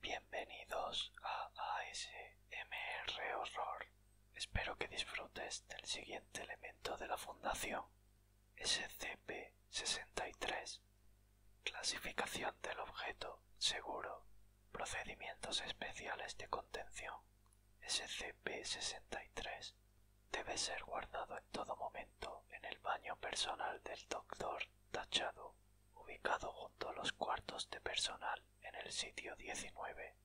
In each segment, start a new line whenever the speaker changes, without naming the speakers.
Bienvenidos a ASMR Horror. Espero que disfrutes del siguiente elemento de la Fundación, SCP-63. Clasificación del objeto seguro. Procedimientos especiales de contención. SCP-63 debe ser guardado en todo momento en el baño personal del Doctor Tachado, ubicado junto a los cuartos de personal en el sitio 19.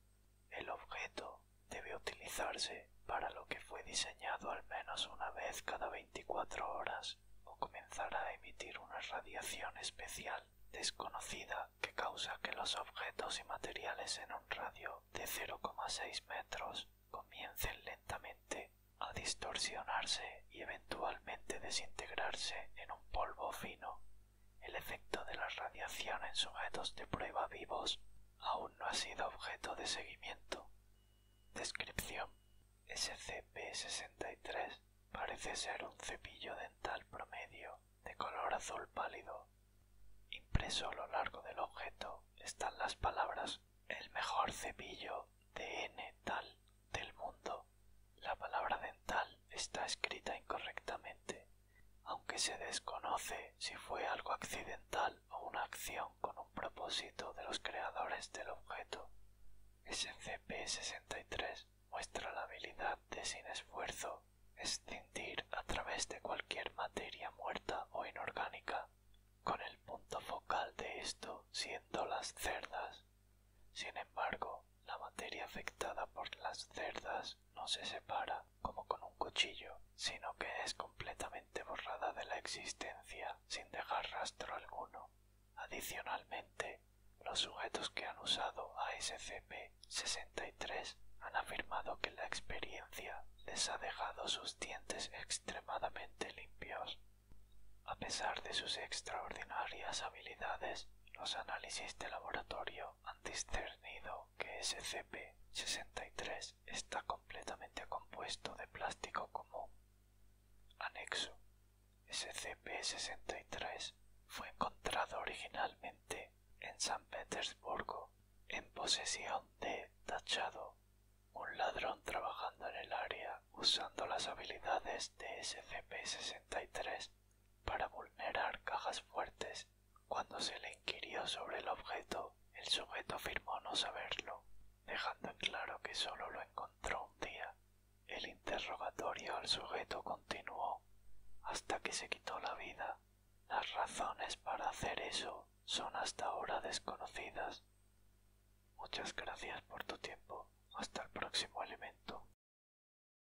El objeto debe utilizarse para lo que fue diseñado al menos una vez cada 24 horas o comenzará a emitir una radiación especial desconocida que causa que los objetos y materiales en un radio de 0,6 metros comiencen lentamente a distorsionarse y eventualmente desintegrarse en un polvo fino. El efecto de la radiación en sujetos de prueba vivos aún no ha sido objeto de seguimiento. Descripción. SCP-63 parece ser un cepillo dental promedio de color azul pálido. Impreso a lo largo del objeto están las palabras el mejor cepillo dental tal del mundo. La palabra dental está escrita incorrectamente, aunque se desconoce si fue algo accidental o una acción con un propósito de los creadores del objeto. SCP-63 muestra la habilidad de sin esfuerzo escindir a través de cualquier materia muerta o inorgánica, con el punto focal de esto
siendo las cerdas. Sin embargo, la materia afectada por las cerdas no se separa como con un cuchillo, sino que es completamente
borrada de la existencia sin dejar rastro alguno. Adicionalmente, los sujetos que han usado ASCP-63 han afirmado que la experiencia les ha dejado sus dientes extremadamente limpios. A pesar de sus extraordinarias habilidades, los análisis de laboratorio han discernido que SCP-63 está completamente compuesto de plástico común. Anexo. SCP-63 fue encontrado originalmente en San Petersburgo en posesión de Tachado, un ladrón trabajando en el área usando las habilidades de SCP-63 para vulnerar cajas fuertes cuando se le inquirió sobre el objeto, el sujeto afirmó no saberlo, dejando en claro que solo lo encontró un día. El interrogatorio al sujeto continuó hasta que se quitó la vida. Las razones para hacer eso son hasta ahora
desconocidas. Muchas gracias por tu tiempo. Hasta el próximo elemento.